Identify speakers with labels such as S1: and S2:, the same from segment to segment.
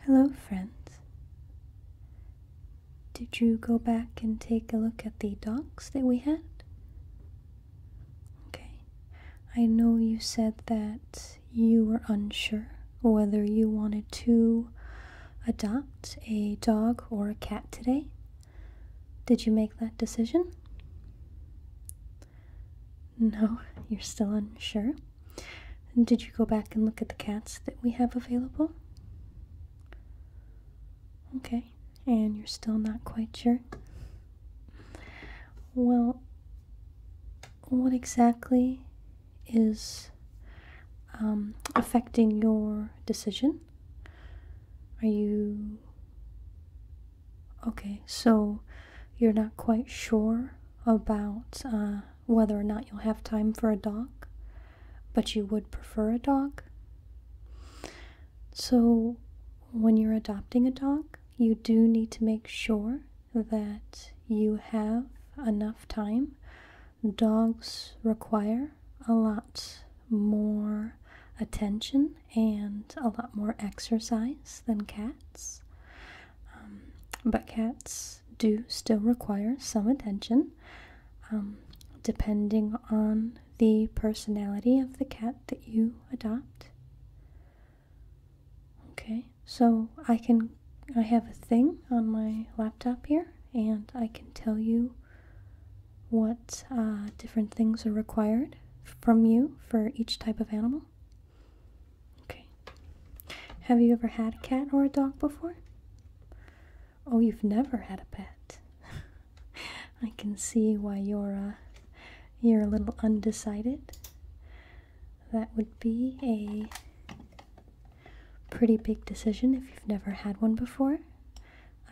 S1: Hello, friends. Did you go back and take a look at the dogs that we had? Okay. I know you said that you were unsure whether you wanted to adopt a dog or a cat today. Did you make that decision? No, you're still unsure? Did you go back and look at the cats that we have available? Okay, and you're still not quite sure? Well, what exactly is um, affecting your decision? Are you. Okay, so you're not quite sure about uh, whether or not you'll have time for a dog, but you would prefer a dog. So, when you're adopting a dog, you do need to make sure that you have enough time. Dogs require a lot more attention and a lot more exercise than cats. Um, but cats do still require some attention, um, depending on the personality of the cat that you adopt. Okay, so I can I have a thing on my laptop here, and I can tell you what uh, different things are required from you for each type of animal. Okay. Have you ever had a cat or a dog before? Oh, you've never had a pet. I can see why you're uh, you're a little undecided. That would be a pretty big decision if you've never had one before.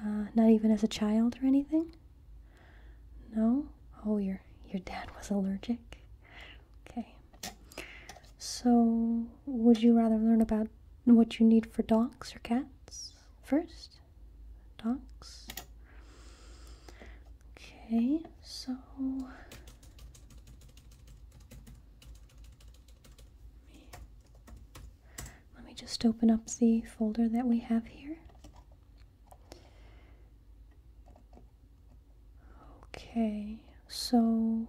S1: Uh, not even as a child or anything. No. Oh, your your dad was allergic. Okay. So, would you rather learn about what you need for dogs or cats first? Dogs. Okay, so. Let me just open up the folder that we have here. Okay, so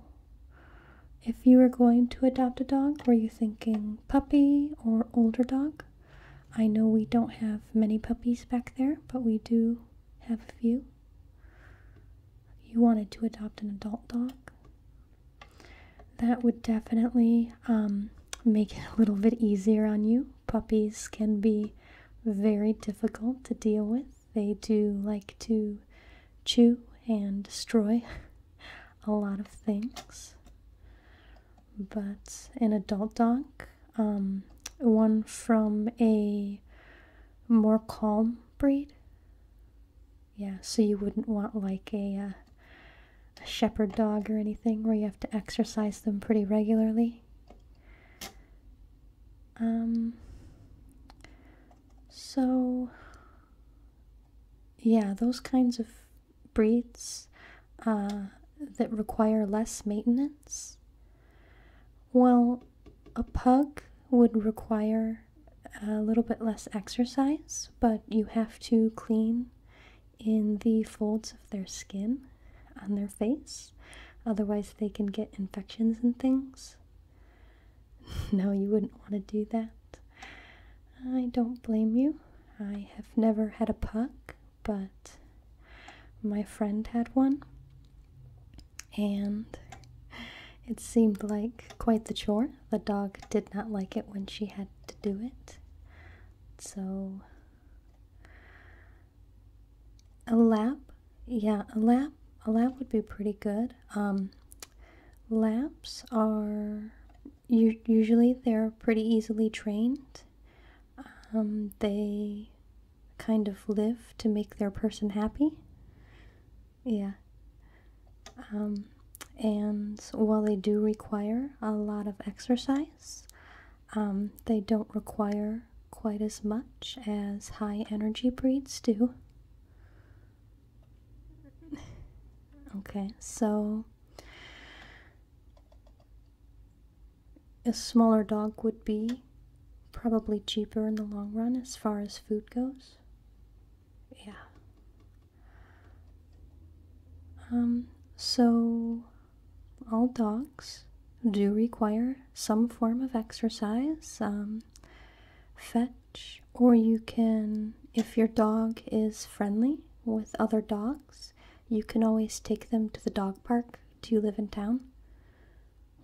S1: if you were going to adopt a dog, were you thinking puppy or older dog? I know we don't have many puppies back there, but we do have a few. You wanted to adopt an adult dog? That would definitely um, make it a little bit easier on you. Puppies can be very difficult to deal with. They do like to chew and destroy a lot of things. But an adult dog, um, one from a more calm breed. Yeah, so you wouldn't want like a uh, shepherd dog or anything where you have to exercise them pretty regularly. Um, so, yeah, those kinds of breeds uh, that require less maintenance. Well, a pug would require a little bit less exercise, but you have to clean in the folds of their skin on their face. Otherwise, they can get infections and things. no, you wouldn't want to do that. I don't blame you. I have never had a puck, but my friend had one. And it seemed like quite the chore. The dog did not like it when she had to do it. So a lap yeah a lap a lap would be pretty good um, laps are usually they're pretty easily trained um, they kind of live to make their person happy yeah um, and while they do require a lot of exercise they don't require quite as much as high energy breeds do. Okay, so a smaller dog would be probably cheaper in the long run as far as food goes. Yeah. Um, so all dogs do require some form of exercise, um, fetch, or you can, if your dog is friendly with other dogs, you can always take them to the dog park. Do you live in town?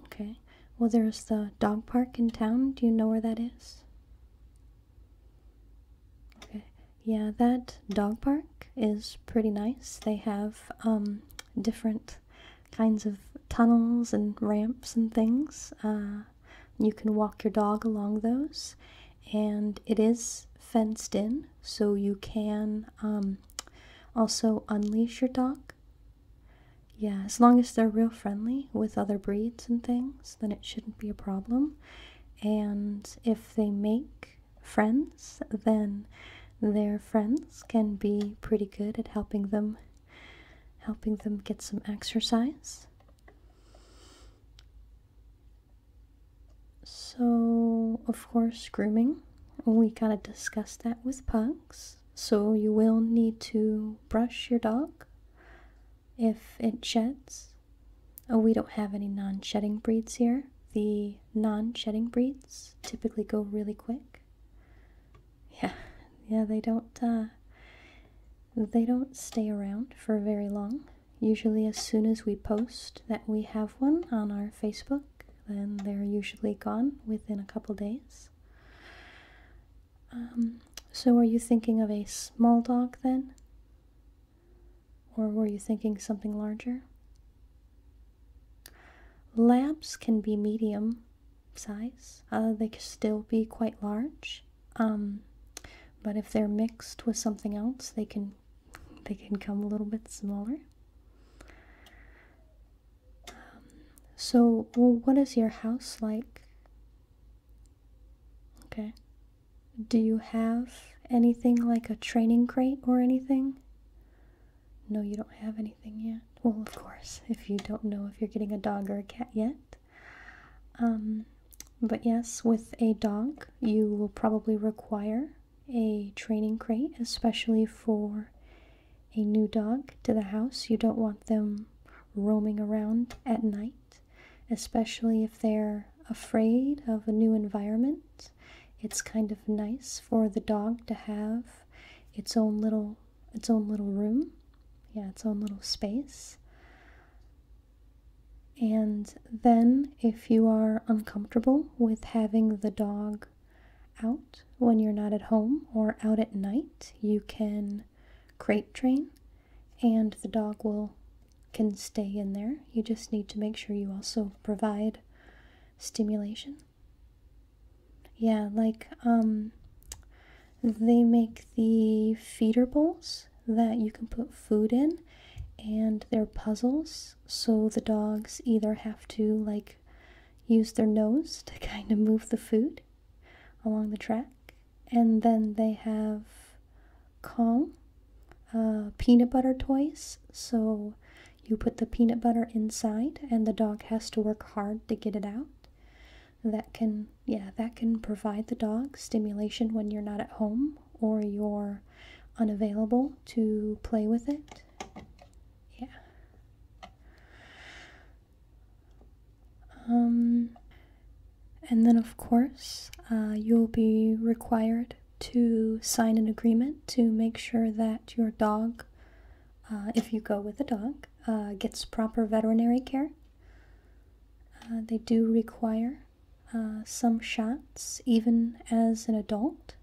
S1: Okay. Well, there's the dog park in town. Do you know where that is? Okay. Yeah, that dog park is pretty nice. They have um, different kinds of tunnels and ramps and things. Uh, you can walk your dog along those, and it is fenced in, so you can um, also unleash your dog. Yeah, as long as they're real friendly with other breeds and things, then it shouldn't be a problem. And if they make friends, then they're friends can be pretty good at helping them helping them get some exercise. So, of course, grooming. We kind of discussed that with pugs. So, you will need to brush your dog if it sheds. Oh, we don't have any non shedding breeds here. The non shedding breeds typically go really quick. Yeah, yeah, they don't uh, they don't stay around for very long. Usually as soon as we post that we have one on our Facebook, then they're usually gone within a couple days. Um, so are you thinking of a small dog then? Or were you thinking something larger? Lamps can be medium size, uh, they can still be quite large. Um, but if they're mixed with something else, they can they can come a little bit smaller. so, what is your house like? Okay. Do you have anything like a training crate or anything? No, you don't have anything yet. Well, of course, if you don't know if you're getting a dog or a cat yet. Um, but yes, with a dog, you will probably require a training crate, especially for a new dog to the house. You don't want them roaming around at night, especially if they're afraid of a new environment. It's kind of nice for the dog to have its own little its own little room yeah its own little space and then if you are uncomfortable with having the dog out when you're not at home or out at night you can crate train and the dog will can stay in there you just need to make sure you also provide stimulation yeah, like um, they make the feeder bowls that you can put food in, and they're puzzles. So the dogs either have to like use their nose to kind of move the food along the track, and then they have Kong uh, peanut butter toys. So you put the peanut butter inside, and the dog has to work hard to get it out. That can, yeah, that can provide the dog stimulation when you're not at home or you're unavailable to play with it. Yeah. Um, and then, of course, uh, you'll be required to sign an agreement to make sure that your dog uh, if you go with a dog, uh, gets proper veterinary care. Uh, they do require uh, some shots, even as an adult.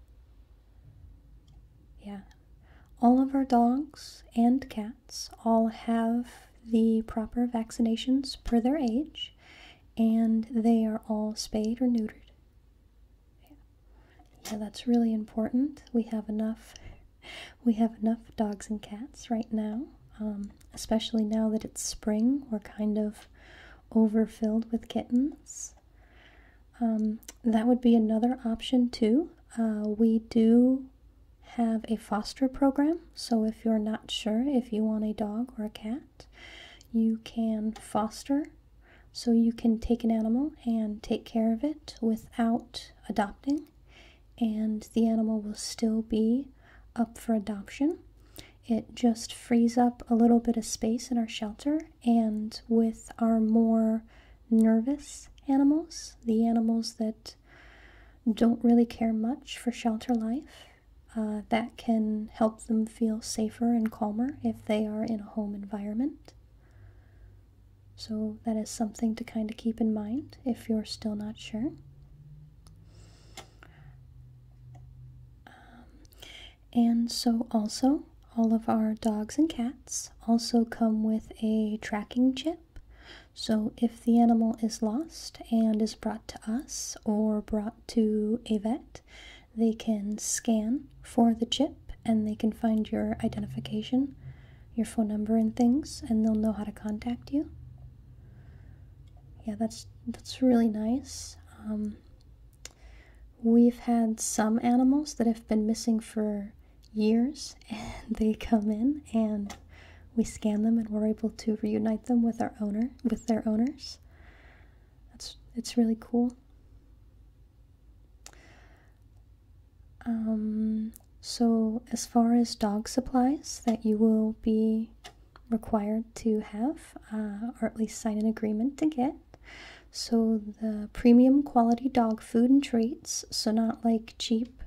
S1: Yeah. All of our dogs and cats all have the proper vaccinations per their age, and they are all spayed or neutered. Yeah. Yeah, that's really important. We have enough we have enough dogs and cats right now. Um, especially now that it's spring, we're kind of overfilled with kittens. Um, that would be another option too. Uh, we do have a foster program, so if you're not sure if you want a dog or a cat, you can foster so you can take an animal and take care of it without adopting, and the animal will still be up for adoption. It just frees up a little bit of space in our shelter, and with our more nervous animals, the animals that don't really care much for shelter life, uh, that can help them feel safer and calmer if they are in a home environment. So that is something to kind of keep in mind if you're still not sure. Um, and so, also, all of our dogs and cats also come with a tracking chip. So, if the animal is lost and is brought to us or brought to a vet, they can scan for the chip and they can find your identification, your phone number, and things, and they'll know how to contact you. Yeah, that's that's really nice. Um, we've had some animals that have been missing for years, and they come in and we scan them, and we're able to reunite them with our owner, with their owners. That's it's really cool. Um, so, as far as dog supplies that you will be required to have, uh, or at least sign an agreement to get, so the premium quality dog food and treats, so not like cheap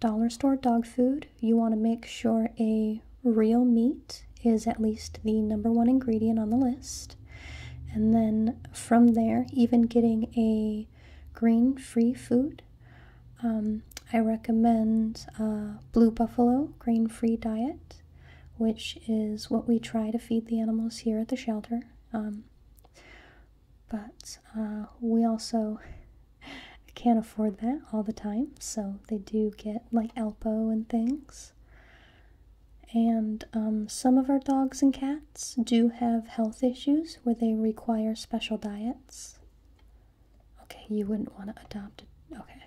S1: dollar store dog food, you want to make sure a real meat is at least the number one ingredient on the list. And then from there, even getting a green free food, um, I recommend uh, Blue Buffalo Grain Free Diet, which is what we try to feed the animals here at the shelter. Um, but uh, we also can't afford that all the time, so they do get like Alpo and things. And um, some of our dogs and cats do have health issues where they require special diets. Okay, you wouldn't want to adopt it. Okay.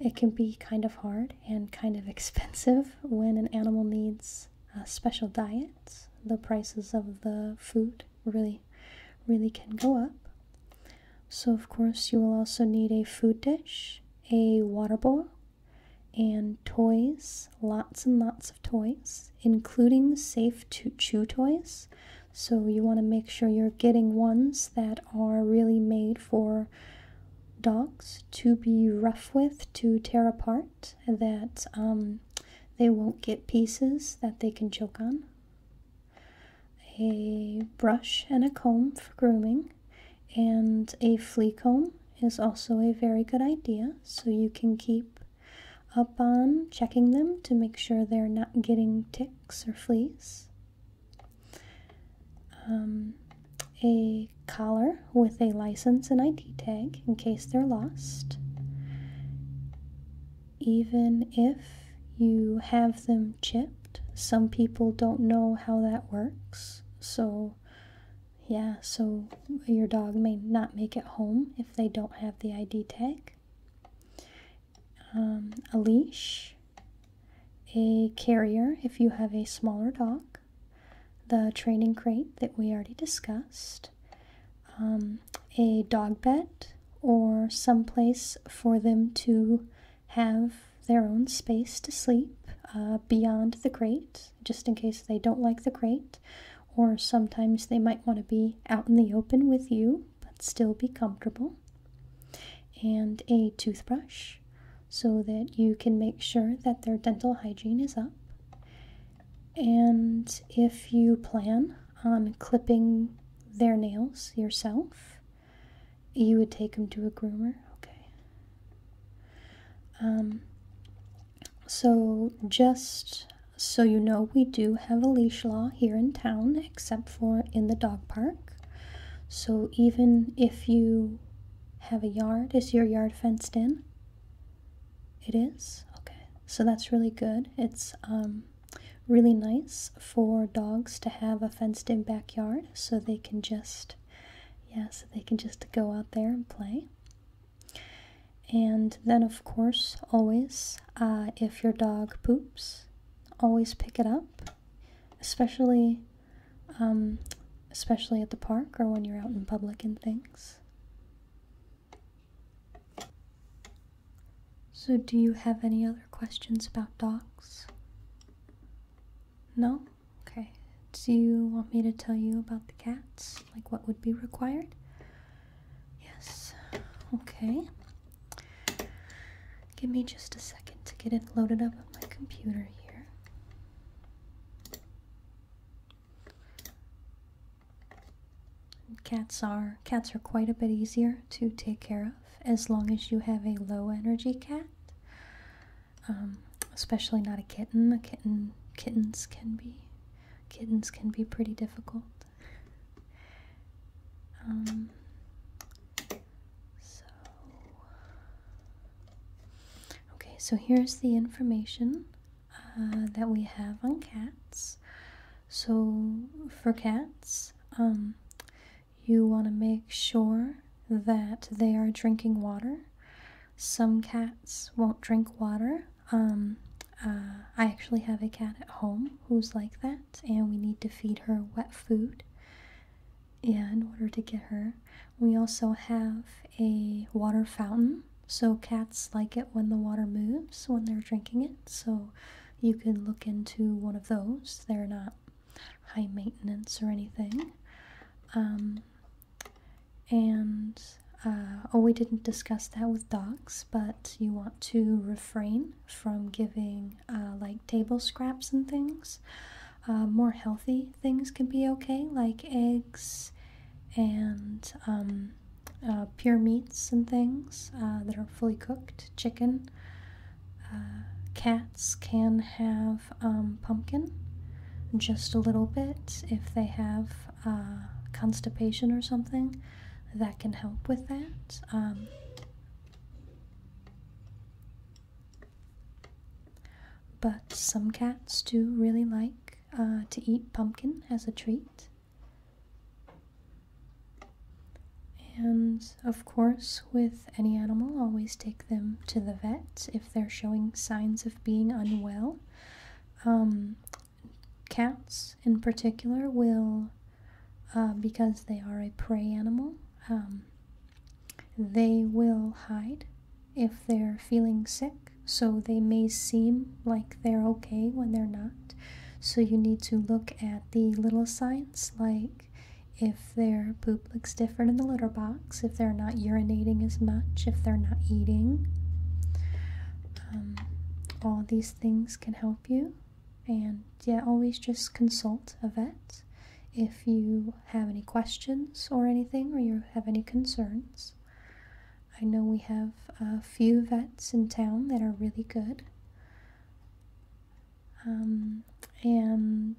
S1: It can be kind of hard and kind of expensive when an animal needs uh, special diets. The prices of the food really, really can go up. So, of course, you will also need a food dish, a water bowl, and toys, lots and lots of toys, including safe to chew toys. So, you want to make sure you're getting ones that are really made for dogs to be rough with, to tear apart, that um, they won't get pieces that they can choke on. A brush and a comb for grooming, and a flea comb is also a very good idea, so you can keep up on checking them to make sure they're not getting ticks or fleas. Um, a collar with a license and ID tag in case they're lost. Even if you have them chipped, some people don't know how that works, so yeah, so your dog may not make it home if they don't have the ID tag. Um, a leash, a carrier if you have a smaller dog, the training crate that we already discussed, um, a dog bed, or someplace for them to have their own space to sleep uh, beyond the crate just in case they don't like the crate, or sometimes they might want to be out in the open with you but still be comfortable. And a toothbrush so that you can make sure that their dental hygiene is up. And if you plan on clipping their nails yourself, you would take them to a groomer. Okay. Um, so, just so you know, we do have a leash law here in town, except for in the dog park. So, even if you have a yard, is your yard fenced in? It is? Okay. So, that's really good. It's um, really nice for dogs to have a fenced in backyard so they can just. Yeah, so they can just go out there and play. And then, of course, always, uh, if your dog poops, always pick it up, especially, um, especially at the park or when you're out in public and things. So, do you have any other questions about dogs? No? Okay. Do you want me to tell you about the cats? Like what would be required? Yes. Okay. Give me just a second to get it loaded up on my computer here. cats are cats are quite a bit easier to take care of as long as you have a low energy cat. Um, especially not a kitten. A kitten, kittens can be, kittens can be pretty difficult. Um, so, okay, so here's the information uh, that we have on cats. So, for cats, um, you want to make sure that they are drinking water some cats won't drink water. Um, uh, I actually have a cat at home who's like that, and we need to feed her wet food yeah, in order to get her. We also have a water fountain, so cats like it when the water moves when they're drinking it. So you can look into one of those. They're not high maintenance or anything. Um, and, uh, oh, we didn't discuss that with dogs, but you want to refrain from giving uh, like table scraps and things. Uh, more healthy things can be okay, like eggs and um, pure meats and things that are fully cooked, chicken. cats can have um, pumpkin just a little bit if they have uh, constipation or something that can help with that um, but some cats do really like uh, to eat pumpkin as a treat and of course with any animal always take them to the vet if they're showing signs of being unwell um, cats, in particular, will, uh, because they are a prey animal, um, they will hide if they're feeling sick. So they may seem like they're okay when they're not. So you need to look at the little signs, like if their poop looks different in the litter box if they're not urinating as much, if they're not eating. Um, all these things can help you. And yeah, always just consult a vet if you have any questions or anything, or you have any concerns. I know we have a few vets in town that are really good. Um, and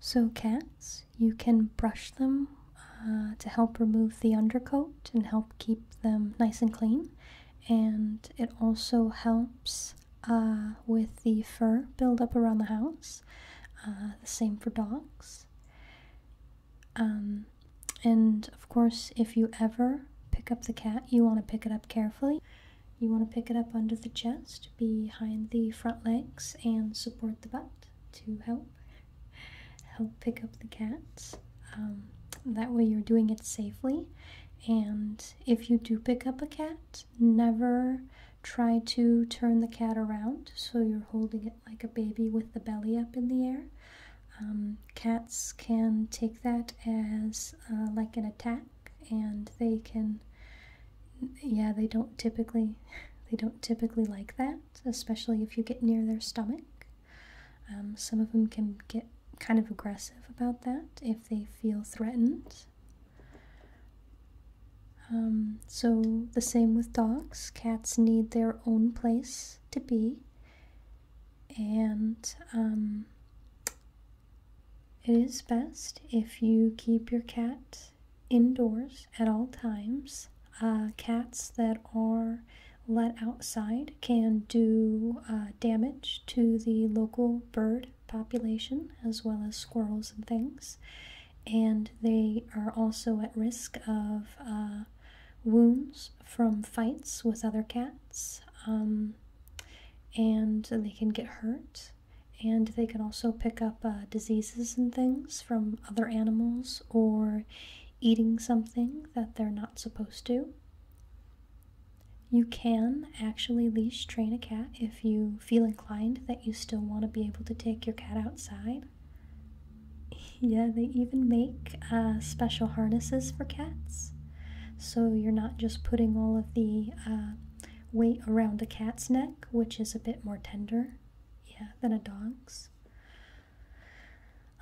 S1: so, cats you can brush them uh, to help remove the undercoat and help keep them nice and clean. And it also helps uh, with the fur buildup around the house. Uh, the same for dogs. Um, and of course, if you ever pick up the cat, you want to pick it up carefully. You want to pick it up under the chest, behind the front legs, and support the butt to help help pick up the cats. Um, that way you're doing it safely. And if you do pick up a cat, never try to turn the cat around so you're holding it like a baby with the belly up in the air. Um, cats can take that as uh, like an attack and they can yeah they don't typically they don't typically like that especially if you get near their stomach. Um, some of them can get kind of aggressive about that if they feel threatened. Um, so, the same with dogs. Cats need their own place to be, and um, it is best if you keep your cat indoors at all times. Uh, cats that are let outside can do uh, damage to the local bird population as well as squirrels and things. And they are also at risk of uh, wounds from fights with other cats. Um, and they can get hurt. And they can also pick up uh, diseases and things from other animals or eating something that they're not supposed to. You can actually leash train a cat if you feel inclined that you still want to be able to take your cat outside. Yeah, they even make uh, special harnesses for cats. So you're not just putting all of the uh, weight around a cat's neck, which is a bit more tender yeah than a dog's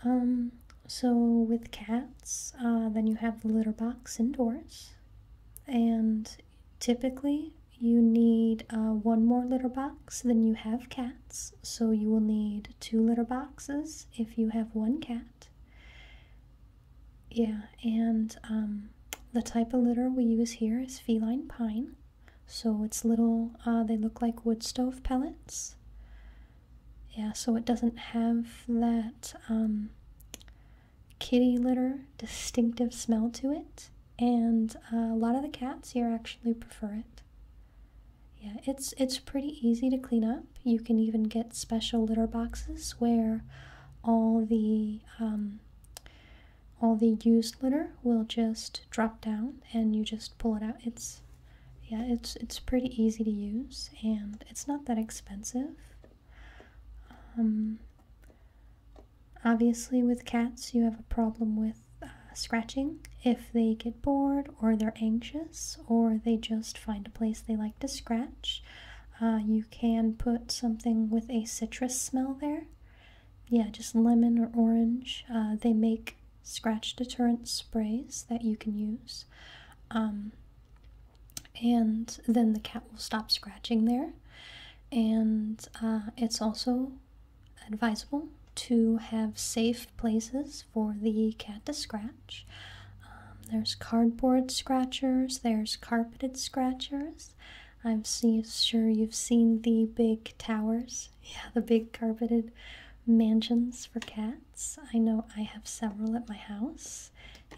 S1: um, so with cats uh, then you have the litter box indoors and typically you need uh, one more litter box than you have cats so you will need two litter boxes if you have one cat yeah and um, the type of litter we use here is feline pine so it's little, uh, they look like wood stove pellets. Yeah, so it doesn't have that um, kitty litter distinctive smell to it. And uh, a lot of the cats here actually prefer it. Yeah, it's it's pretty easy to clean up. You can even get special litter boxes where all the um, all the used litter will just drop down and you just pull it out it's yeah it's it's pretty easy to use and it's not that expensive um, obviously with cats you have a problem with uh, scratching if they get bored or they're anxious or they just find a place they like to scratch uh, you can put something with a citrus smell there yeah, just lemon or orange. Uh, they make scratch deterrent sprays that you can use. Um, and then the cat will stop scratching there. And uh, it's also advisable to have safe places for the cat to scratch. Um, there's cardboard scratchers, there's carpeted scratchers. I'm sure you've seen the big towers, yeah, the big carpeted mansions for cats. I know I have several at my house,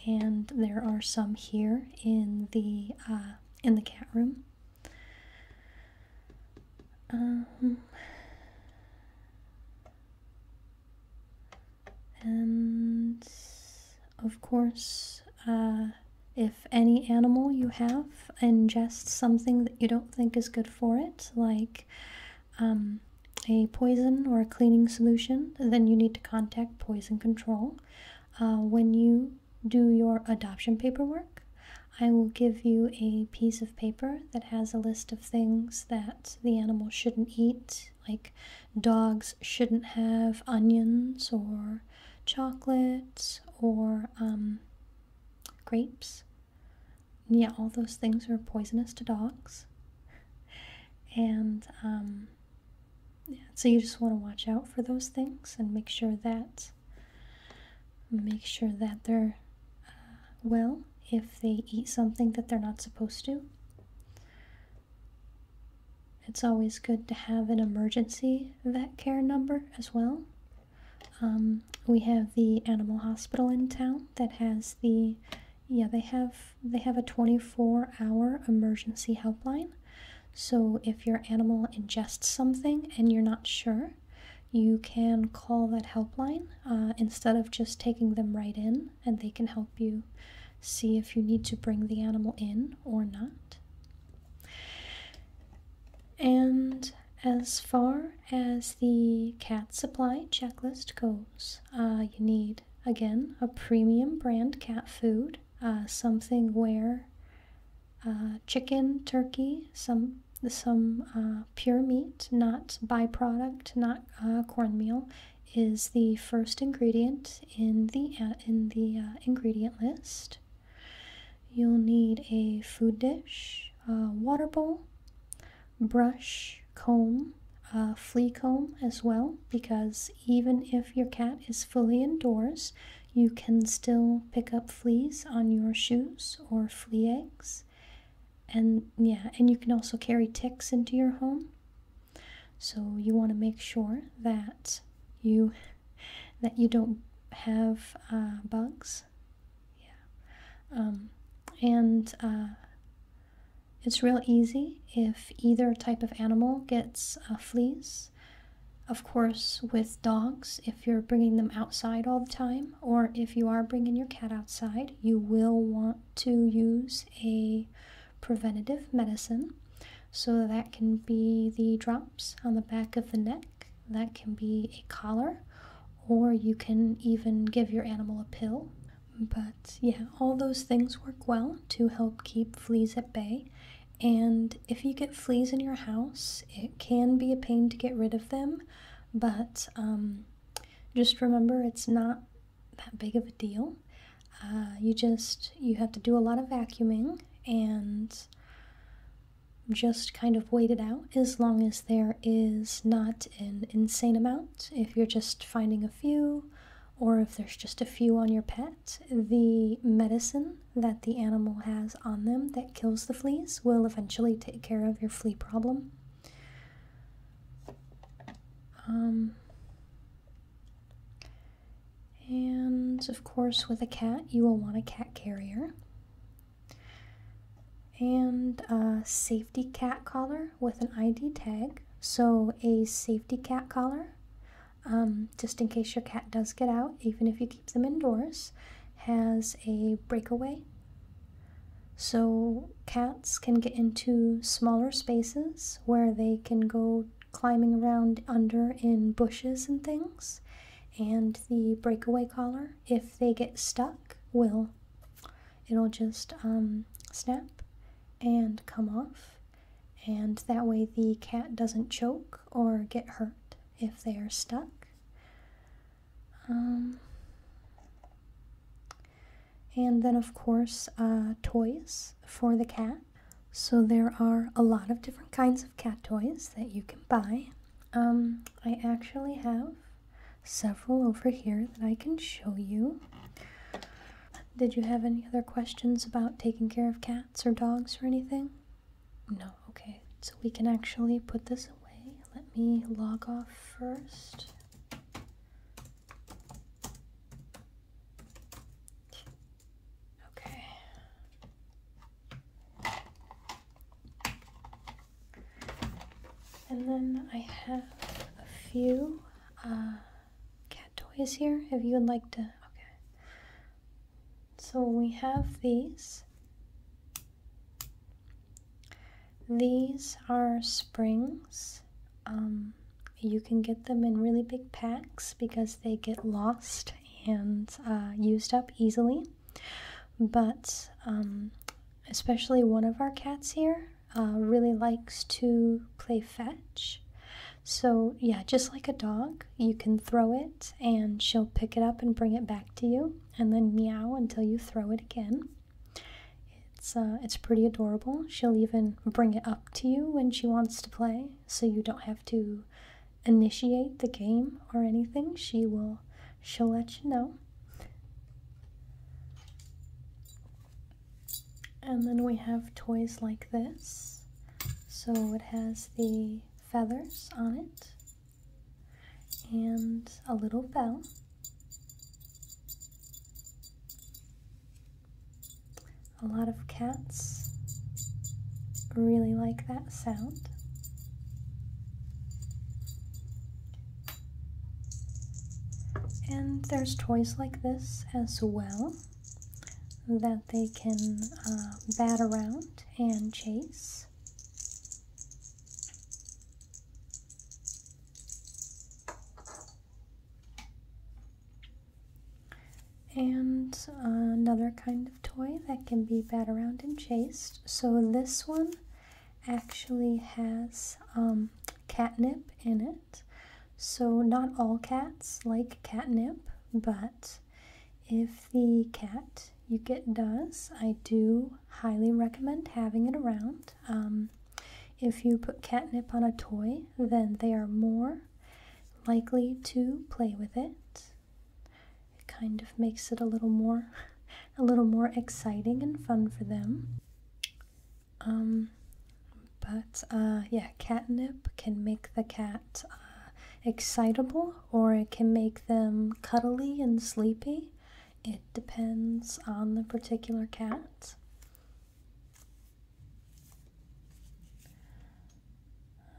S1: and there are some here in the uh, in the cat room. Um, and of course, uh, if any animal you have ingests something that you don't think is good for it, like um, a poison or a cleaning solution, then you need to contact poison control. Uh, when you do your adoption paperwork, I will give you a piece of paper that has a list of things that the animal shouldn't eat, like dogs shouldn't have onions or chocolates or um, grapes. And yeah, all those things are poisonous to dogs. and um, yeah, so you just want to watch out for those things and make sure that make sure that they're uh, well if they eat something that they're not supposed to. It's always good to have an emergency vet care number as well um, we have the animal hospital in town that has the yeah they have they have a 24 hour emergency helpline. So if your animal ingests something and you're not sure, you can call that helpline uh, instead of just taking them right in, and they can help you see if you need to bring the animal in or not. And as far as the cat supply checklist goes, uh, you need again a premium brand cat food, uh, something where uh, chicken, turkey, some some pure meat, not byproduct, not cornmeal, is the first ingredient in the in the ingredient list. You'll need a food dish, water bowl, brush, comb, a flea comb as well, because even if your cat is fully indoors, you can still pick up fleas on your shoes or flea eggs. And yeah, and you can also carry ticks into your home. So you want to make sure that you that you don't have uh, bugs. Yeah. Um, and uh, it's real easy if either type of animal gets fleas. Of course, with dogs, if you're bringing them outside all the time, or if you are bringing your cat outside, you will want to use a preventative medicine. So that can be the drops on the back of the neck that can be a collar, or you can even give your animal a pill. But yeah, all those things work well to help keep fleas at bay. And if you get fleas in your house, it can be a pain to get rid of them, but um, just remember it's not that big of a deal. Uh, you just you have to do a lot of vacuuming and just kind of wait it out as long as there is not an insane amount. If you're just finding a few, or if there's just a few on your pet, the medicine that the animal has on them that kills the fleas will eventually take care of your flea problem. Um, and of course, with a cat, you will want a cat carrier and a safety cat collar with an ID tag. So, a safety cat collar, um, just in case your cat does get out, even if you keep them indoors, has a breakaway. So, cats can get into smaller spaces where they can go climbing around under in bushes and things and the breakaway collar if they get stuck will it'll just um, snap and come off and that way the cat doesn't choke or get hurt if they are stuck um, and then of course uh, toys for the cat so there are a lot of different kinds of cat toys that you can buy um, I actually have several over here that I can show you. Did you have any other questions about taking care of cats or dogs or anything? No, okay. So we can actually put this away. Let me log off first. Okay. And then I have a few uh, cat toys here if you would like to. Okay. So we have these. These are springs. Um, you can get them in really big packs because they get lost and uh, used up easily. But um, especially one of our cats here uh, really likes to play fetch. So, yeah, just like a dog, you can throw it and she'll pick it up and bring it back to you and then meow until you throw it again. It's, uh, it's pretty adorable. She'll even bring it up to you when she wants to play so you don't have to initiate the game or anything. She will she'll let you know. And then we have toys like this. So it has the feathers on it and a little bell. A lot of cats really like that sound. And there's toys like this as well that they can uh, bat around and chase and another kind of toy that can be bat around and chased. So this one actually has um, catnip in it. So not all cats like catnip, but if the cat you get does, I do highly recommend having it around. Um, if you put catnip on a toy, then they are more likely to play with it. It kind of makes it a little more a little more exciting and fun for them. Um, but uh, yeah, catnip can make the cat uh, excitable or it can make them cuddly and sleepy. It depends on the particular cat.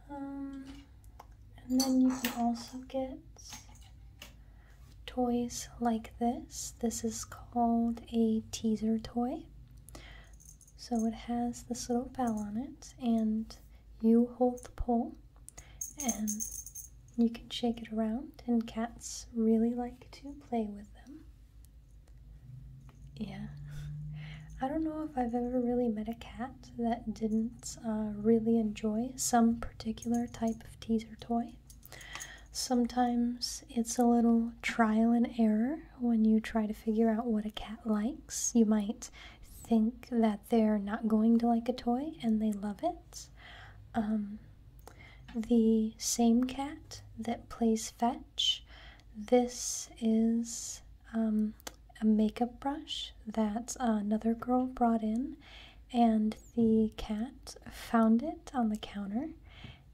S1: Um, and then you can also get toys like this. This is called a teaser toy. So it has this little bell on it, and you hold the pole, and you can shake it around, and cats really like to play with them. Yeah. I don't know if I've ever really met a cat that didn't uh, really enjoy some particular type of teaser toy. Sometimes it's a little trial and error when you try to figure out what a cat likes. You might think that they're not going to like a toy and they love it. Um, the same cat that plays fetch. This is um, a makeup brush that uh, another girl brought in, and the cat found it on the counter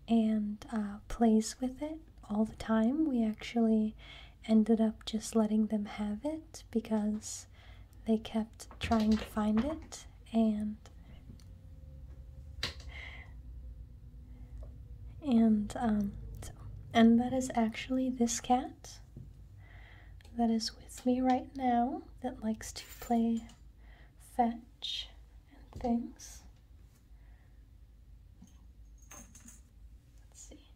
S1: and uh, plays with it all the time. We actually ended up just letting them have it because they kept trying to find it and and um, so, and that is actually this cat that is with me right now that likes to play fetch and things. Let's see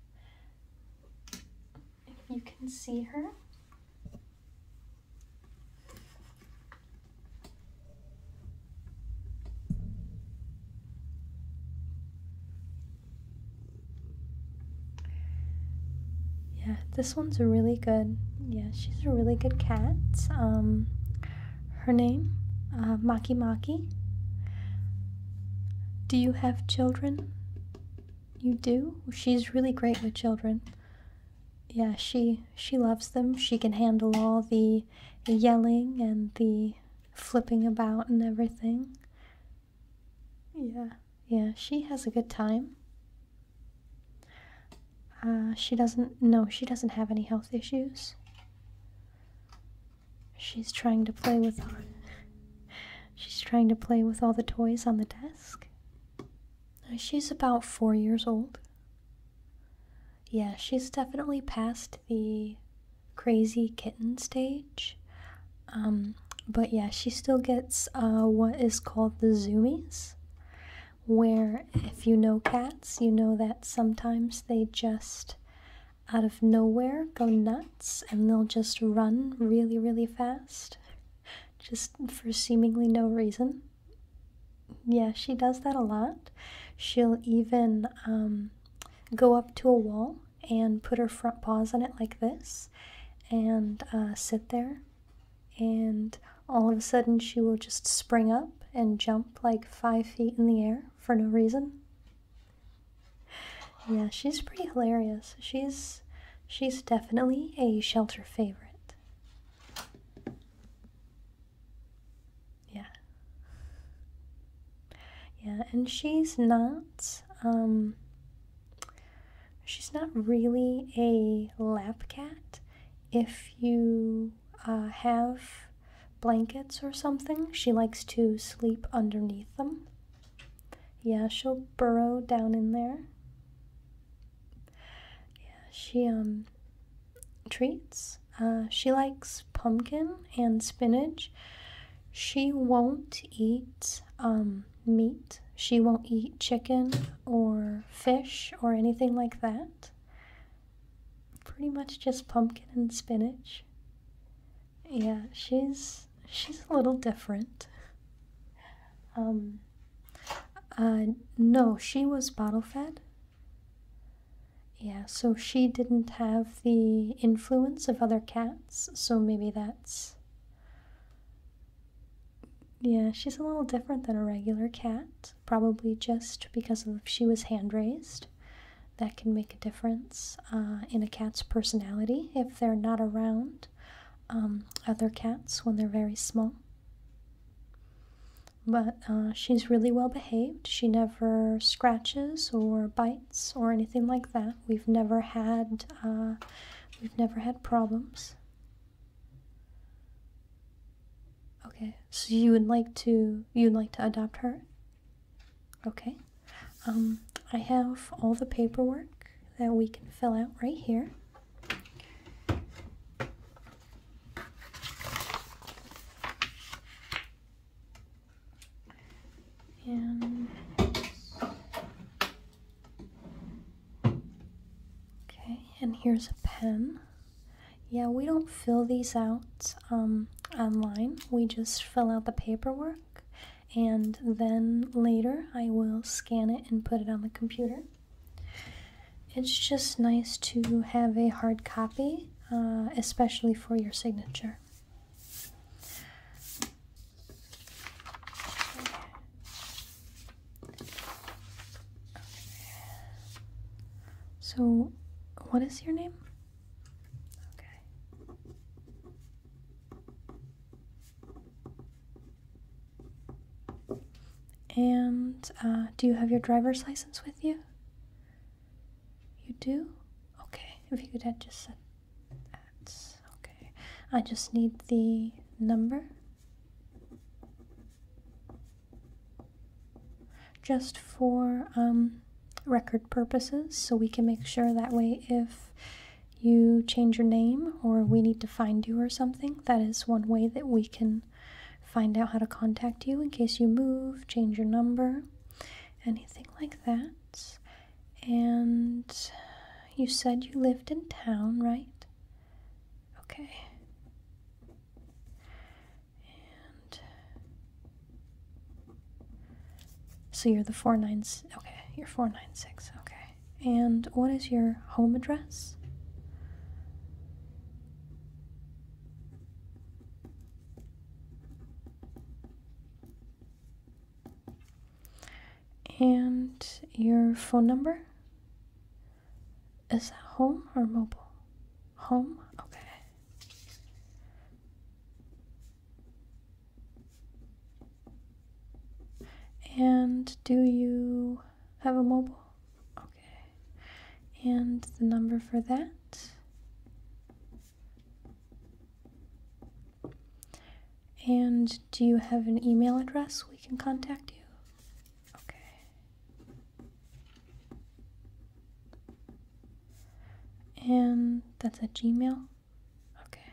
S1: if you can see her. Yeah, this one's really good. Yeah, she's a really good cat. Um, her name, uh, Maki Maki. Do you have children? You do. She's really great with children. Yeah, she she loves them. She can handle all the yelling and the flipping about and everything. Yeah, yeah, she has a good time. Uh, she doesn't, no, she doesn't have any health issues. She's trying to play with, she's trying to play with all the toys on the desk. Uh, she's about four years old. Yeah, she's definitely past the crazy kitten stage. Um, but yeah, she still gets uh, what is called the zoomies, where if you know cats, you know that sometimes they just out of nowhere go nuts and they'll just run really, really fast, just for seemingly no reason. Yeah, she does that a lot. She'll even um, go up to a wall and put her front paws on it like this and uh, sit there. And all of a sudden, she will just spring up and jump like five feet in the air for no reason. Yeah, she's pretty hilarious. She's she's definitely a shelter favorite. Yeah. Yeah, and she's not um She's not really a lap cat. If you uh, have blankets or something, she likes to sleep underneath them. Yeah, she'll burrow down in there. Yeah, she um treats. Uh, she likes pumpkin and spinach she won't eat um, meat. She won't eat chicken or fish or anything like that. Pretty much just pumpkin and spinach. Yeah, she's she's a little different. Um, uh, no, she was bottle fed. Yeah, so she didn't have the influence of other cats, so maybe that's yeah, she's a little different than a regular cat, probably just because she was hand raised. That can make a difference uh, in a cat's personality if they're not around um, other cats when they're very small. But uh, she's really well behaved. She never scratches or bites or anything like that. We've never had uh, we've never had problems. Okay, so you would like to you'd like to adopt her? Okay. Um, I have all the paperwork that we can fill out right here. And okay, and here's a pen. Yeah, we don't fill these out um, online. We just fill out the paperwork, and then later I will scan it and put it on the computer. It's just nice to have a hard copy, uh, especially for your signature. So, what is your name? Okay. And uh, do you have your driver's license with you? You do? Okay. If you could just set that's okay. I just need the number. Just for um, record purposes, so we can make sure that way if you change your name or we need to find you or something, that is one way that we can find out how to contact you in case you move, change your number, anything like that. And you said you lived in town, right? Okay. And so you're the 496. Okay, you're 496. Okay. And what is your home address? And your phone number? Is that home or mobile? Home? Okay. And do you have a mobile? Okay. And the number for that? And do you have an email address we can contact you? Okay. And that's a Gmail? Okay.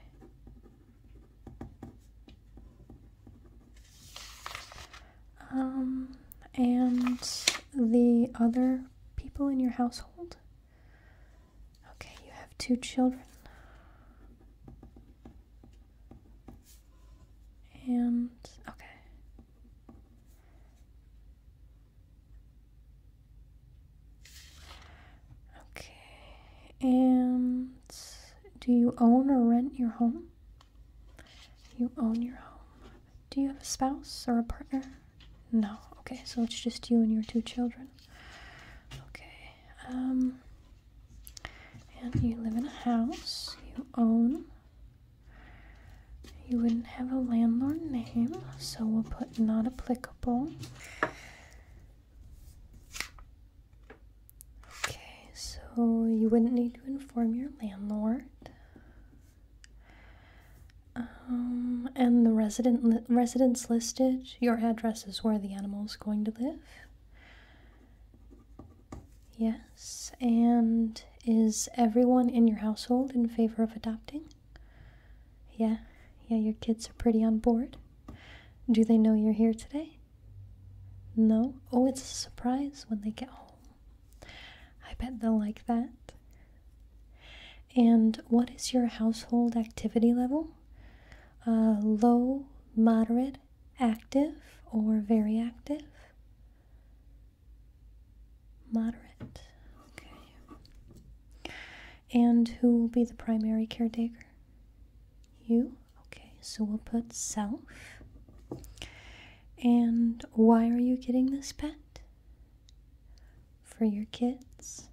S1: Um, and the other people in your household? Okay, you have two children. And okay. Okay. And do you own or rent your home? You own your home. Do you have a spouse or a partner? No. Okay, so it's just you and your two children. Okay. Um, and you live in a house you own. You wouldn't have a landlord name, so we'll put not applicable. Okay, so you wouldn't need to inform your landlord. Um, and the resident li residents listed your address is where the animal is going to live. Yes, and is everyone in your household in favor of adopting? Yeah, yeah, your kids are pretty on board. Do they know you're here today? No? Oh, it's a surprise when they get home. I bet they'll like that. And what is your household activity level? Uh, low, moderate, active, or very active. Moderate, okay. And who will be the primary caretaker? You? Okay, so we'll put self. And why are you getting this pet? For your kids.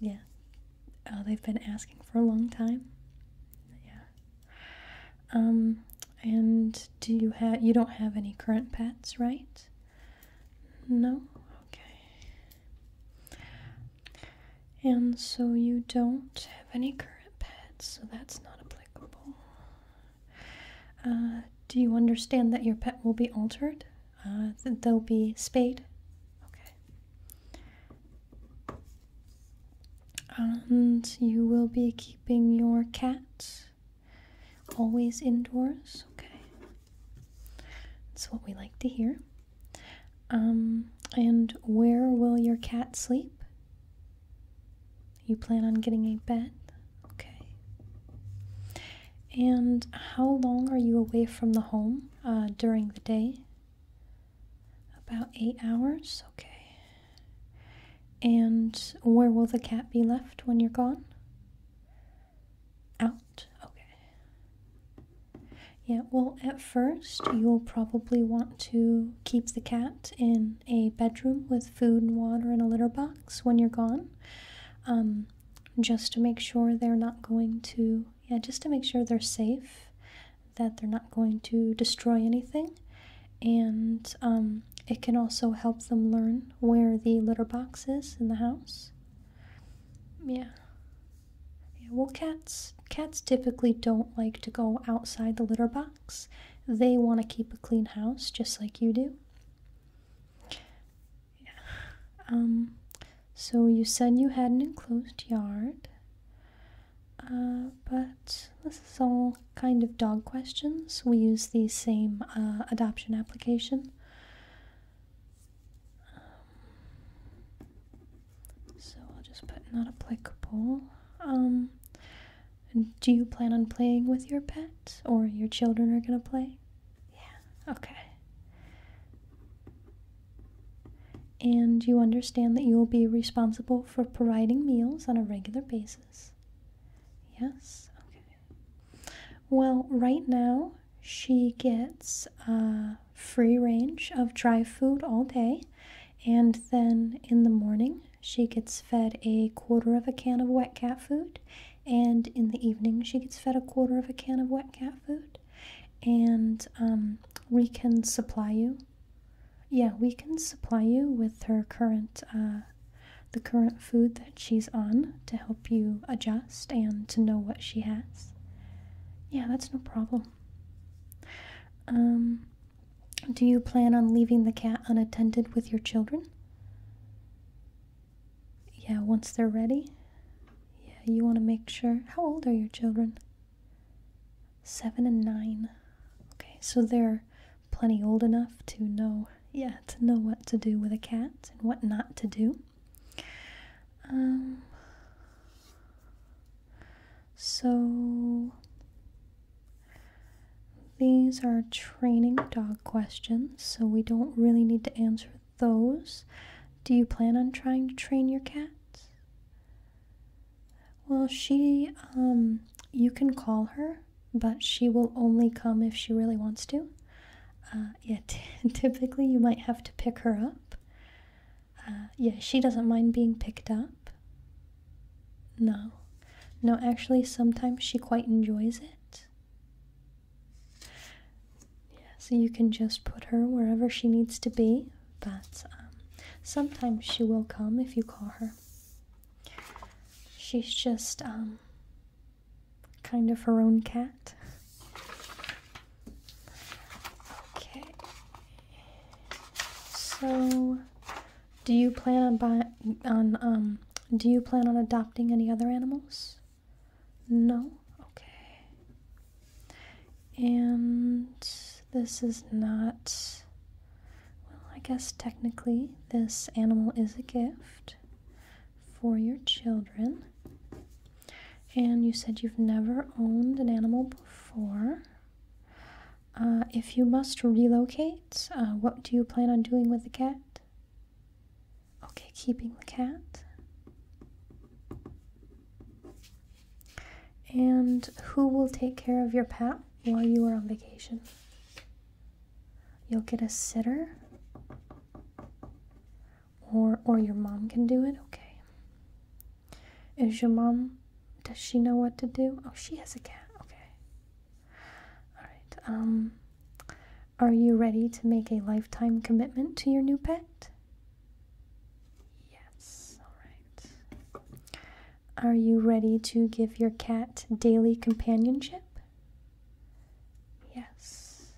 S1: Yeah. Oh, they've been asking for a long time. Yeah. Um, and do you have you don't have any current pets, right? No. Okay. And so you don't have any current pets, so that's not applicable. Uh, do you understand that your pet will be altered? Uh, that they'll be spayed? Okay. And you will be keeping your cat always indoors? Okay. That's what we like to hear. Um, and where will your cat sleep? You plan on getting a bed? Okay. And how long are you away from the home uh, during the day? About eight hours? Okay. And where will the cat be left when you're gone? Out? Okay. Yeah, well, at first, you'll probably want to keep the cat in a bedroom with food and water and a litter box when you're gone, um, just to make sure they're not going to, yeah, just to make sure they're safe, that they're not going to destroy anything, and um, it can also help them learn where the litter box is in the house. Yeah. yeah. Well, cats cats typically don't like to go outside the litter box. They want to keep a clean house, just like you do. Yeah. Um, so you said you had an enclosed yard. Uh, but this is all kind of dog questions. We use the same uh, adoption application. Um, so I'll just put not applicable. Um, do you plan on playing with your pet? Or your children are gonna play? Yeah, okay. And you understand that you will be responsible for providing meals on a regular basis? Yes, okay. Well, right now she gets a free range of dry food all day, and then in the morning she gets fed a quarter of a can of wet cat food, and in the evening, she gets fed a quarter of a can of wet cat food. And um, we can supply you. Yeah, we can supply you with her current, uh, the current food that she's on to help you adjust and to know what she has. Yeah, that's no problem. Um, do you plan on leaving the cat unattended with your children? Yeah, once they're ready. Yeah, you want to make sure. How old are your children? Seven and nine. Okay, so they're plenty old enough to know, yeah, to know what to do with a cat and what not to do. Um, so these are training dog questions, so we don't really need to answer those. Do you plan on trying to train your cat? Well, she, um, you can call her, but she will only come if she really wants to. Uh, Yet, typically you might have to pick her up. Uh, yeah, she doesn't mind being picked up. No. No, actually, sometimes she quite enjoys it. Yeah, so you can just put her wherever she needs to be, but um, sometimes she will come if you call her. She's just um, kind of her own cat. Okay, so do you plan on buy- on um do you plan on adopting any other animals? No. Okay. And this is not well, I guess technically this animal is a gift for your children. And you said you've never owned an animal before. Uh, if you must relocate, uh, what do you plan on doing with the cat? Okay, keeping the cat. And who will take care of your pet while you are on vacation? You'll get a sitter? Or or your mom can do it? Okay. Is your mom does she know what to do? Oh, she has a cat. Okay. All right. Um, are you ready to make a lifetime commitment to your new pet? Yes. All right. Are you ready to give your cat daily companionship? Yes.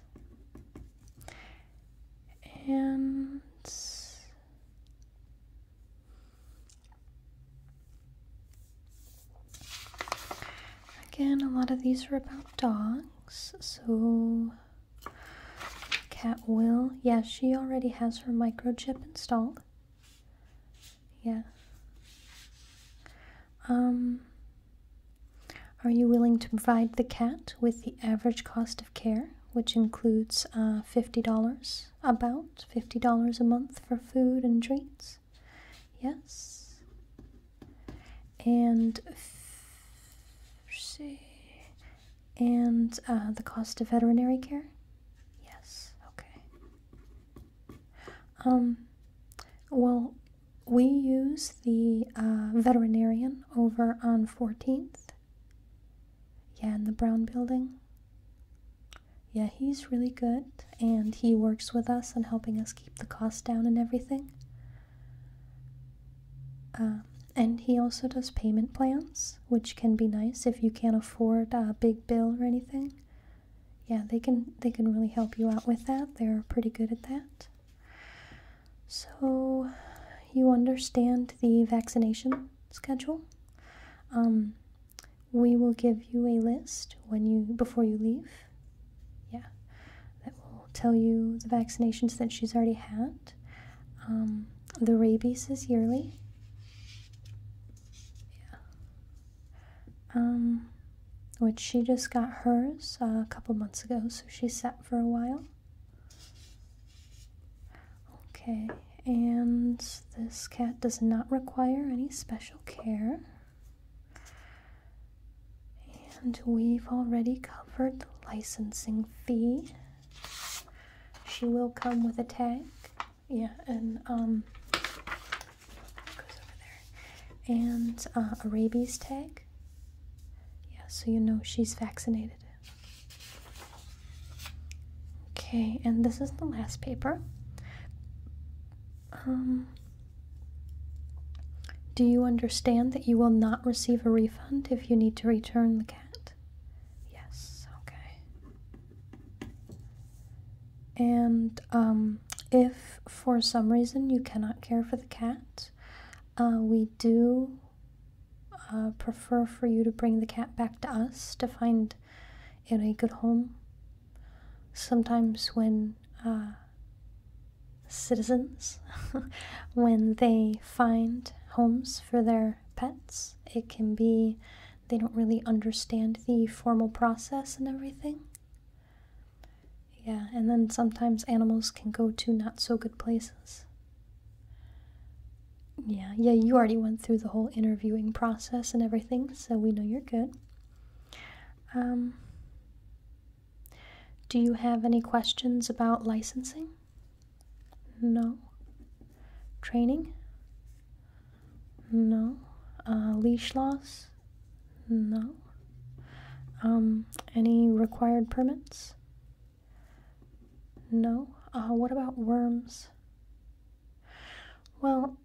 S1: And Again, a lot of these are about dogs. So, Cat Will, Yes, she already has her microchip installed. Yeah. Um, are you willing to provide the cat with the average cost of care, which includes uh, $50, about $50 a month for food and treats? yes and see and uh, the cost of veterinary care yes okay um well we use the uh, veterinarian over on 14th yeah in the brown building yeah, he's really good and he works with us on helping us keep the cost down and everything. Um, and he also does payment plans, which can be nice if you can't afford a big bill or anything. Yeah, they can they can really help you out with that. They're pretty good at that. So, you understand the vaccination schedule. Um, we will give you a list when you before you leave. Yeah, that will tell you the vaccinations that she's already had. Um, the rabies is yearly. Yeah. Um, which she just got hers uh, a couple months ago, so she's set for a while. Okay, and this cat does not require any special care. And we've already covered the licensing fee. She will come with a tag. Yeah, and um, goes over there. And uh, a rabies tag. Yeah, so you know she's vaccinated. Okay, and this is the last paper. Um, do you understand that you will not receive a refund if you need to return the cat? Yes, okay. And um, if for some reason you cannot care for the cat, uh, we do uh, prefer for you to bring the cat back to us to find it a good home sometimes when uh, citizens, when they find homes for their pets, it can be they don't really understand the formal process and everything. Yeah, and then sometimes animals can go to not so good places. Yeah, yeah, you already went through the whole interviewing process and everything, so we know you're good. Um, do you have any questions about licensing? No. Training? No. Uh, leash laws? No. Um, any required permits? No. Uh, what about worms? Well,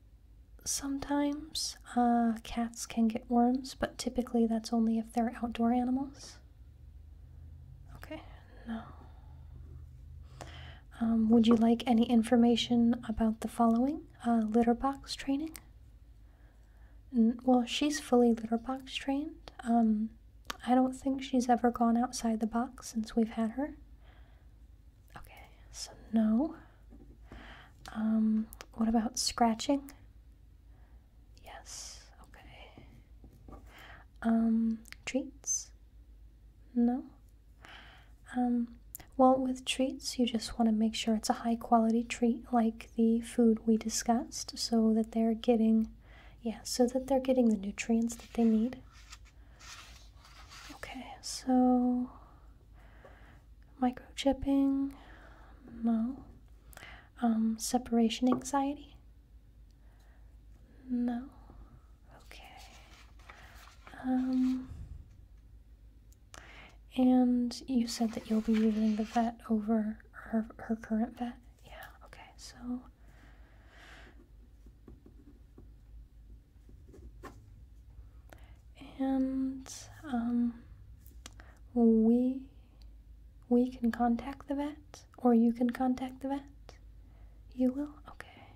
S1: sometimes. Uh, cats can get worms, but typically that's only if they're outdoor animals. Okay, no. Um, would you like any information about the following uh, litter box training? well, she's fully litter box trained. Um, I don't think she's ever gone outside the box since we've had her. Okay, so no. Um, what about scratching? Yes, okay. Um, treats? No. Um, well, with treats, you just want to make sure it's a high quality treat like the food we discussed so that they're getting, yeah, so that they're getting the nutrients that they need. Okay, so microchipping no um separation anxiety no okay um and you said that you'll be using the vet over her her current vet yeah okay so and um, we we can contact the vet or you can contact the vet you will okay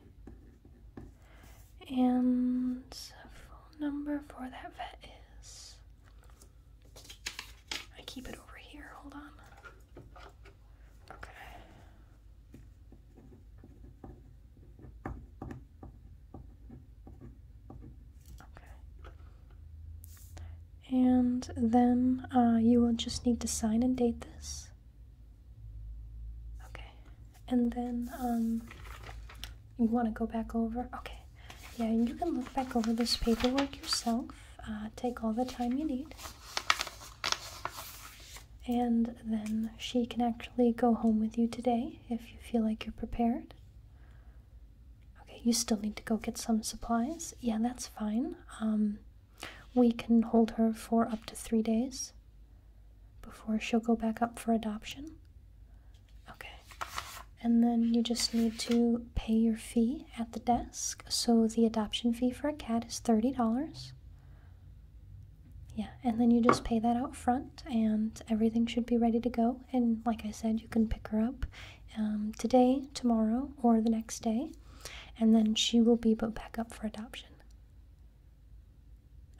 S1: and phone number for that vet is i keep it over here hold on okay Okay. And then uh, you will just need to sign and date this. Okay. And then um, you want to go back over. Okay. Yeah, you can look back over this paperwork yourself. Uh, take all the time you need. And then she can actually go home with you today if you feel like you're prepared. Okay, you still need to go get some supplies. Yeah, that's fine. Um, we can hold her for up to three days before she'll go back up for adoption. Okay. And then you just need to pay your fee at the desk. So the adoption fee for a cat is $30. Yeah, and then you just pay that out front and everything should be ready to go. And like I said, you can pick her up um, today, tomorrow, or the next day, and then she will be put back up for adoption.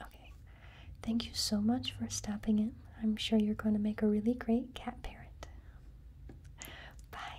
S1: Okay, thank you so much for stopping in. I'm sure you're going to make a really great cat parent. Bye.